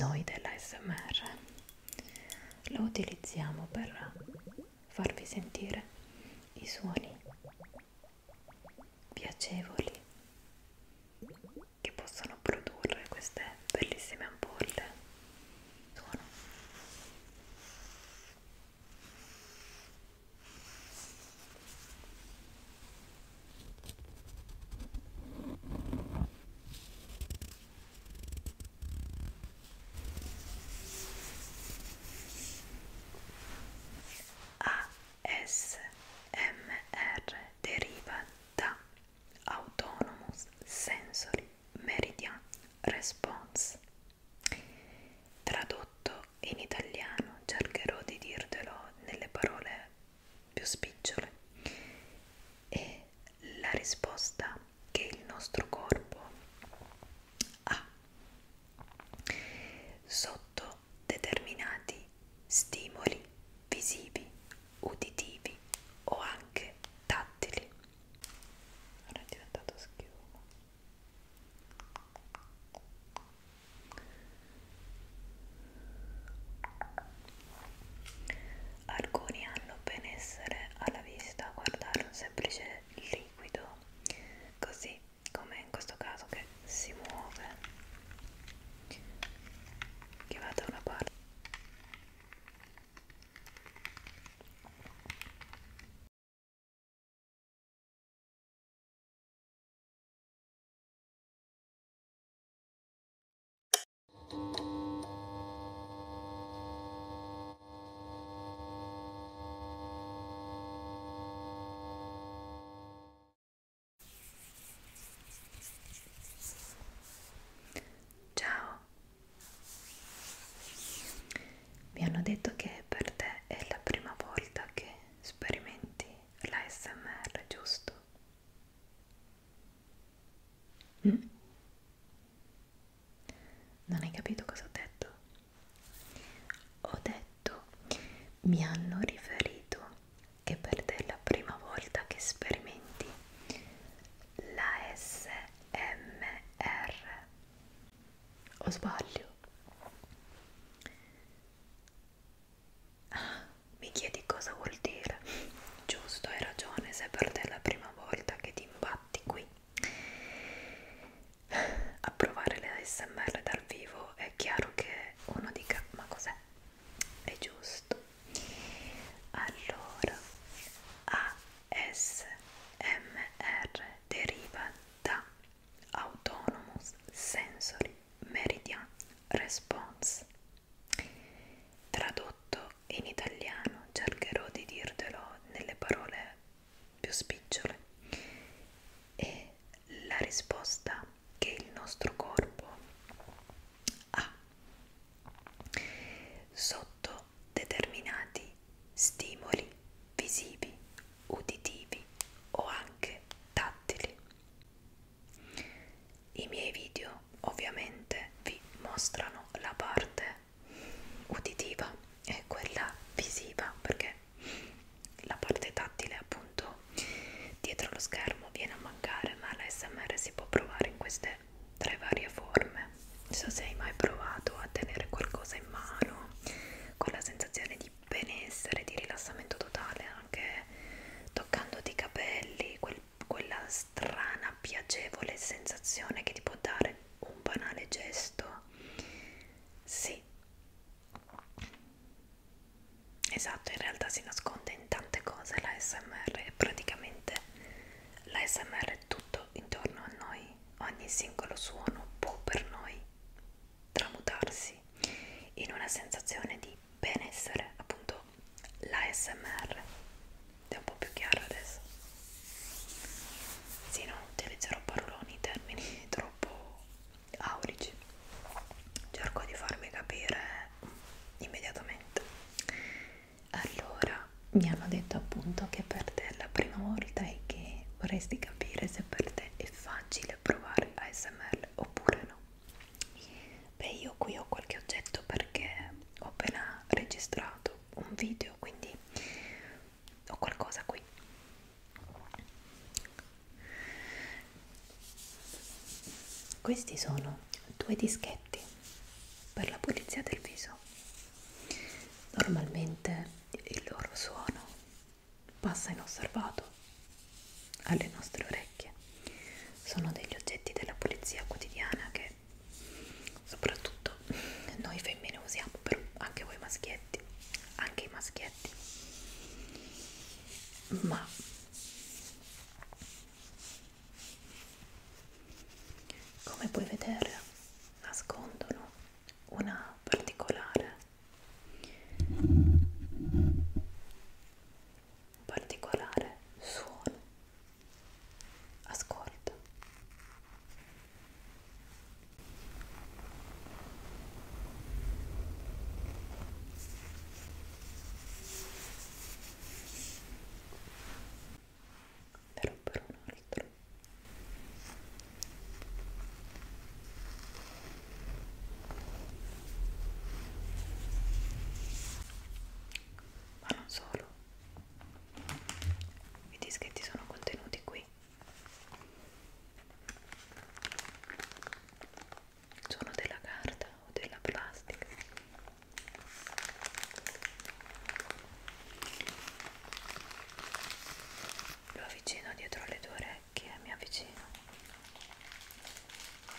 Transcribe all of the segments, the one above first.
Noi dell'ASMR lo utilizziamo per farvi sentire i suoni piacevoli che possono produrre queste bellissime ampolle. Suono. ASMR deriva da Autonomous Sensory Meridian Response. Tradotto in italiano cercherò di dirtelo nelle parole più spicciole e la risposta che il nostro corpo ha sotto determinati stimoli visivi, uditivi o anche tattili. Ora è diventato schiuma. Alcuni hanno benessere alla vista a guardare un semplice liquido, così come in questo caso che si muove, che va da una parte. Ciao, mi hanno detto che per te è la prima volta che sperimenti l'ASMR, giusto? Mm. Non hai capito cosa ho detto? Ho detto, mi hanno riferito che per te è la prima volta che sperimenti la SMR. O sbaglio? Ah, mi chiedi cosa vuol dire? Giusto, hai ragione, se per te è la prima volta che ti imbatti qui. A provare le ASMR dal vivo è chiaro che uno dica ma cos'è? È giusto. Allora, ASMR deriva da Autonomous Sensory Meridian Response Tradotto in italiano, cercherò di dirtelo nelle parole più spicciole. È la risposta che il nostro corpo ha sotto determinati stimoli visivi, uditivi o anche tattili i miei video ovviamente vi mostrano la parte uditiva e quella visiva perché la parte tattile appunto dietro lo schermo viene a mancare ma l'ASMR si può provare in queste tre varie forme non so se hai mai provato a tenere qualcosa in mano con la sensazione di benessere di rilassamento totale anche toccandoti i capelli quel quella strana, piacevole sensazione che ti può dare un banale gesto. Sì, esatto, in realtà si nasconde in tante cose la SMR e praticamente la SMR è tutto intorno a noi, ogni singolo suono può per noi tramutarsi in una sensazione di benessere, appunto l'ASMR. È un po' più chiaro adesso. Sì, non utilizzerò paroloni, termini troppo aurici. Cerco di farmi capire immediatamente. Allora, mi hanno detto appunto che per te è la prima volta e che vorresti capire se per te è facile provare ASMR oppure no. Beh, io qui ho qualche oggetto perché ho appena registrato un video, quindi ho qualcosa qui. Questi sono due dischetti per la pulizia del viso. Normalmente il loro suono passa inosservato, alle nostre orecchie. Sono degli oggetti della pulizia quotidiana che soprattutto noi femmine usiamo, però anche voi maschietti, anche i maschietti. Ma come puoi vedere nascondono una particolare un particolare suono. Ascolta. Però per un altro ma non solo i dischetti sono contenuti qui sono della carta o della plastica lo avvicino dietro le tue orecchie mi avvicino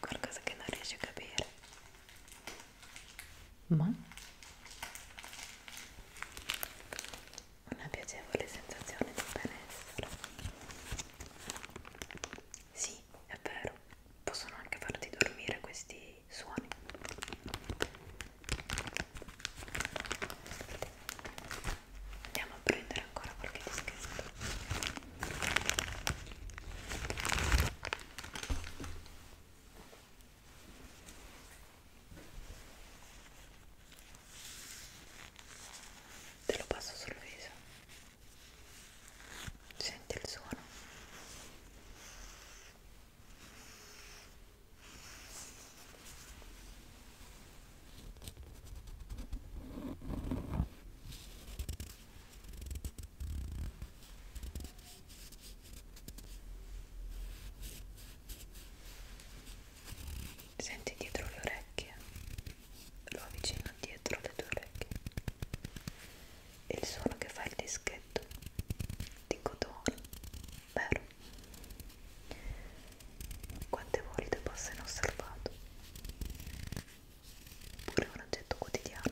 qualcosa che non riesci a capire ma una piacevole sensazione di benessere sì è vero possono anche farti dormire questi questi suoni andiamo a prendere ancora qualche dischetto te lo passo sul viso senti il suono Senti dietro le orecchie, lo avvicino dietro le tue orecchie e il suono che fa il dischetto di cotone, vero? Quante volte passa inosservato, pure un oggetto quotidiano.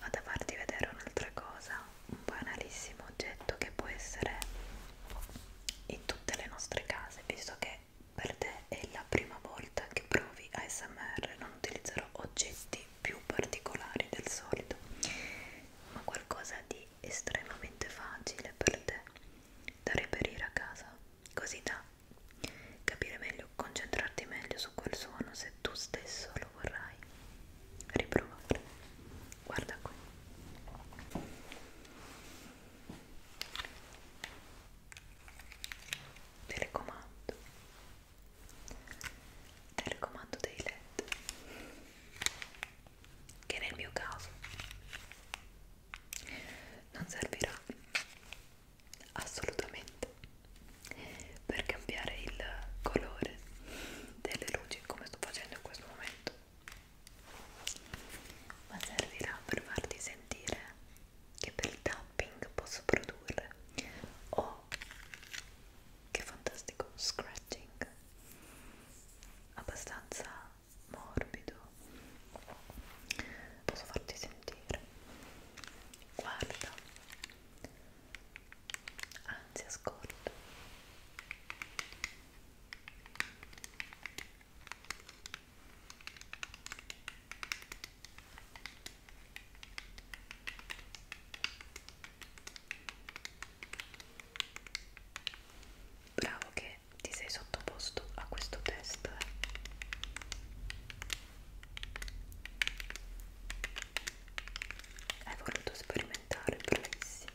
Vado a farti vedere un'altra cosa, un banalissimo oggetto che può essere in tutte le nostre case, visto che per te è la prima volta che provi ASMR, non utilizzerò oggetti più particolari del solito, ma qualcosa di estremamente facile per te da reperire a casa, così da capire meglio, concentrarti meglio su quel suono se tu stesso lo vorrai riprovare. Guarda qui telecomando telecomando dei led che nel mio caso non servirà assolutamente per cambiare il colore delle luci come sto facendo in questo momento ma servirà per farti sentire che bel tapping posso produrre oh che fantastico scratching abbastanza morbido posso farti sentire guarda anzi ascolta Bravo che ti sei sottoposto a questo test. Eh? Hai voluto sperimentare, bravissimo.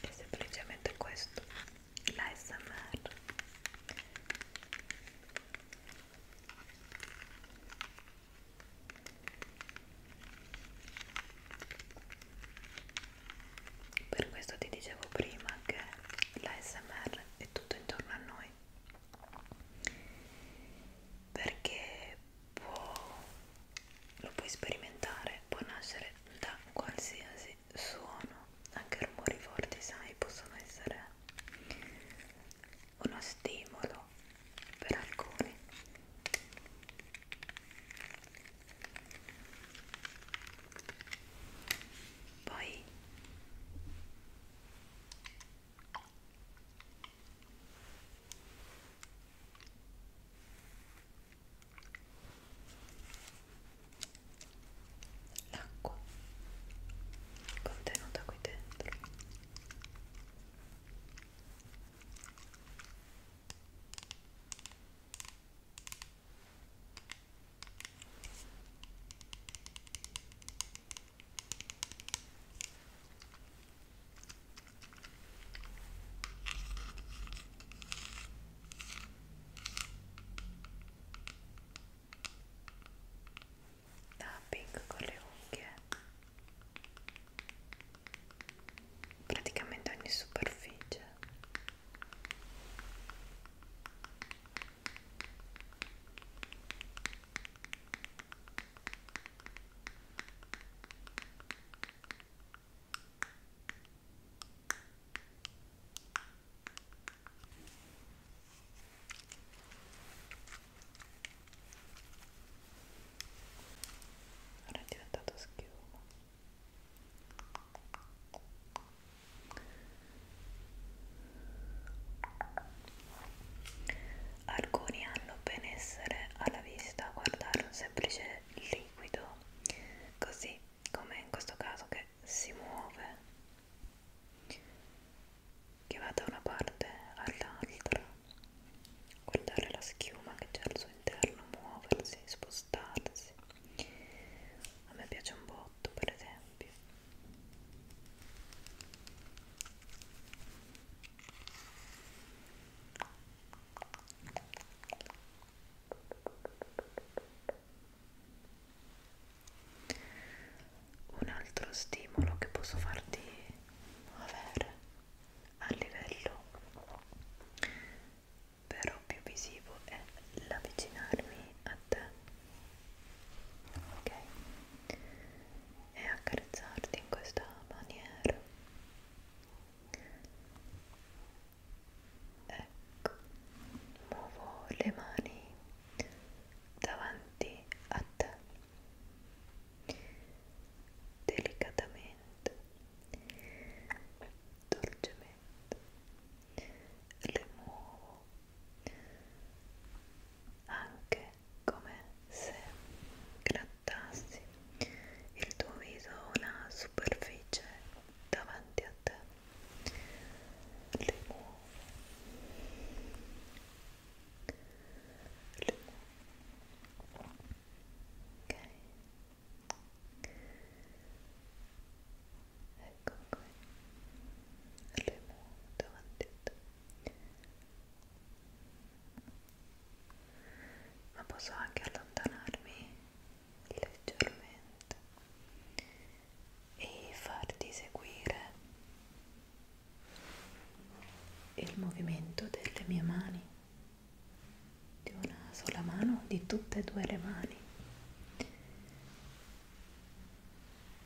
è semplicemente questo la smr per questo ti dicevo prima che la smr è tutto intorno a noi perché può lo puoi sperimentare, può nascere da qualsiasi suono, anche rumori forti, sai, possono essere uno stimolo per alcuni. Poi l'acqua contenuta qui dentro tapping con le unghie praticamente ogni superficie Ora è diventato schiuma. Alcuni hanno benessere alla vista, guardare un semplice liquido così come in questo caso che si muove che va da una parte all'altra guardare la schiuma che c'è al suo interno muoversi, spostarsi a me piace un botto per esempio un altro stimolo che posso farti avere a livello però più visivo è l'avvicinarmi a te, ok? E accarezzarti in questa maniera ecco muovo le mani davanti a te delicatamente dolcemente le muovo anche come se la piantassi il tuo viso ha una superficie davanti a te le muovo le muovo ok ecco qui le muovo davanti a te ma posso anche allontanarmi leggermente e farti seguire il movimento delle mie mani di una sola mano di tutte e due le mani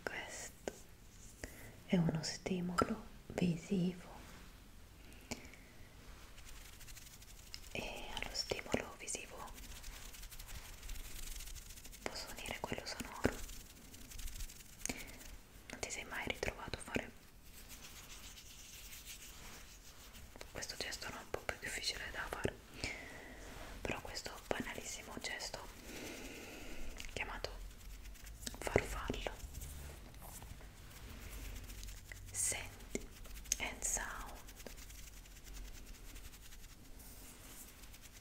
questo è uno stimolo visivo e allo stimolo visivo posso unire quello sonoro non ti sei mai ritrovato a fare questo gesto non è un po' più difficile da fare però questo banalissimo gesto chiamato farfallo senti and sound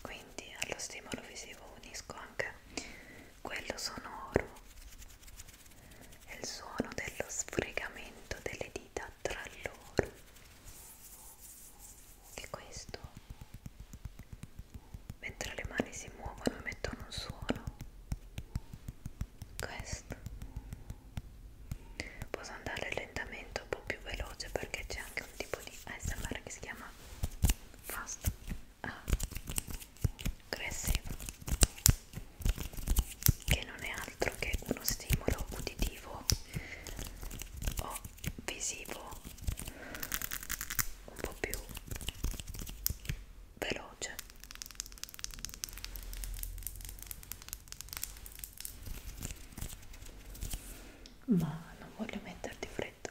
quindi allo stimolo visivo unisco anche quello sonoro e il suono dello sfregamento delle dita tra loro che questo mentre le mani si muovono emettono un suono questo posso andare lentamente un po' più veloce perché c'è anche un tipo di ASMR che si chiama fast aggressivo che non è altro che uno stimolo uditivo o visivo un po' più veloce ma non voglio metterti freddo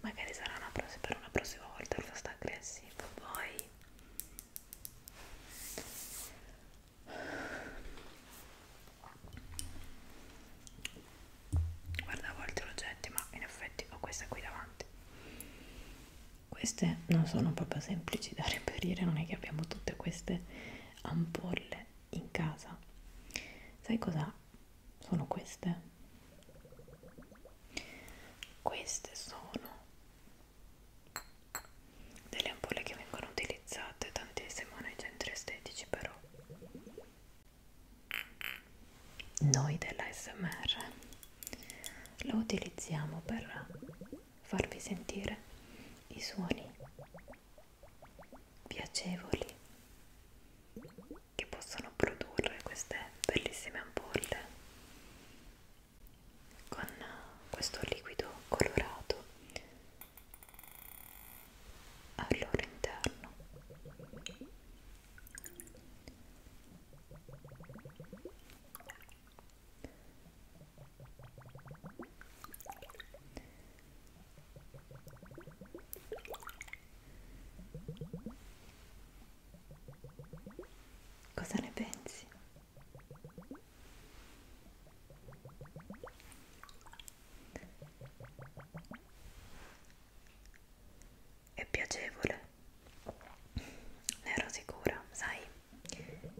magari sarà una per una prossima volta il fast aggressivo poi guarda a volte lo getti ma in effetti ho questa qui davanti queste non sono proprio semplici da reperire, non è che abbiamo tutte queste ampolle in casa. Sai cosa sono queste? Queste sono delle ampolle che vengono utilizzate tantissimo nei centri estetici, però noi della SMR lo utilizziamo per farvi sentire i suoni piacevoli che possono produrre queste bellissime ampolle con questo liquido colorato al loro interno Cosa ne pensi? È piacevole ne ero sicura, sai,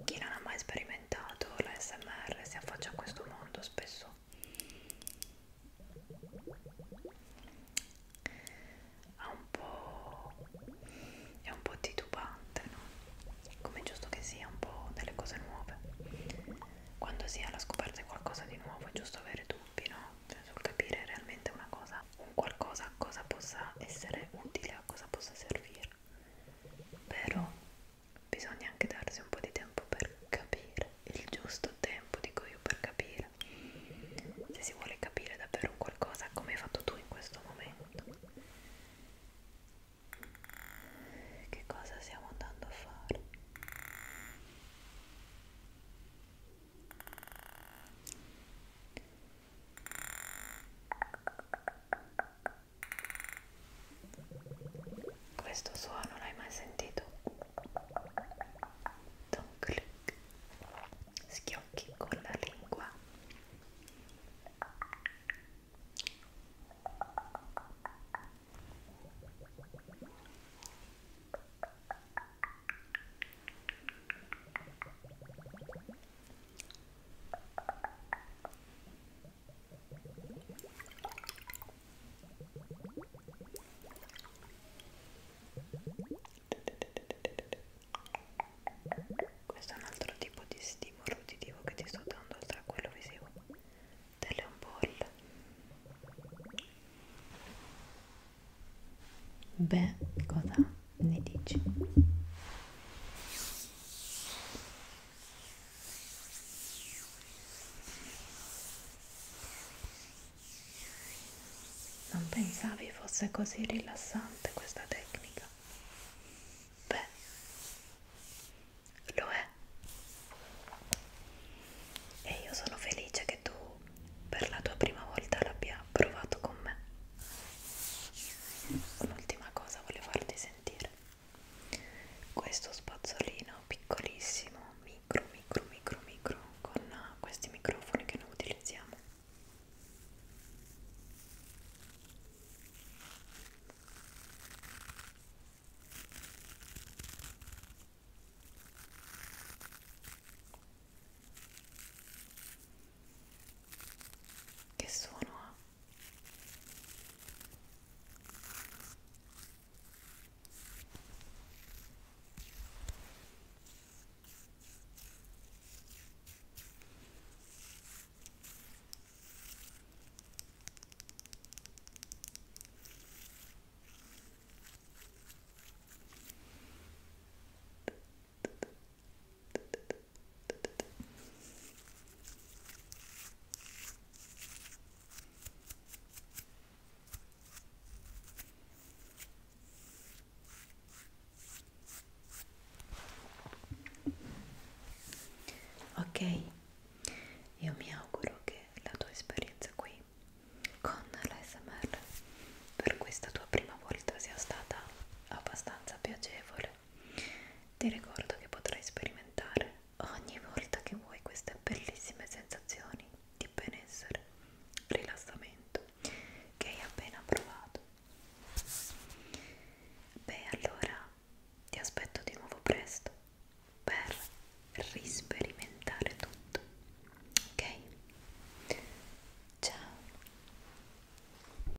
chi non ha mai sperimentato l'ASMR si affaccia a questo mondo spesso ha un po' è un po' titubante, no? Come è giusto che sia un po' delle cose nuove. Quando si è alla scoperta di qualcosa di nuovo è giusto avere dubbi, no? Cioè, sul capire realmente una cosa, un qualcosa a cosa possa essere utile, a cosa possa servire però bisogna anche darsi un po' di tempo per capire il giusto tempo dico io per capire se si vuole capire davvero un qualcosa come hai fatto tu in questo momento che cosa stiamo andando a fare questo suono l'hai mai sentito? Don't click. Schiocchi con la lingua. Questo è un altro tipo di stimolo uditivo che ti sto dando oltre a quello visivo delle ampolle. Beh, cosa? ne dici? Non pensavi fosse così rilassante questa tecnica? Beh, lo è. E io sono felice che tu per la tua prima volta l'abbia provato con me un'ultima cosa volevo farti sentire questo spazzolino piccolissimo micro micro micro micro con questi microfoni che noi utilizziamo che suono ha? Ok, io mi auguro che la tua esperienza qui con l'ASMR per questa tua prima volta sia stata abbastanza piacevole piacere. Ti ricordo che potrai sperimentare ogni volta che vuoi queste bellissime sensazioni di benessere, rilassamento che hai appena provato. Beh, allora ti aspetto di nuovo presto per risperimentare tutto. Ok? Ciao!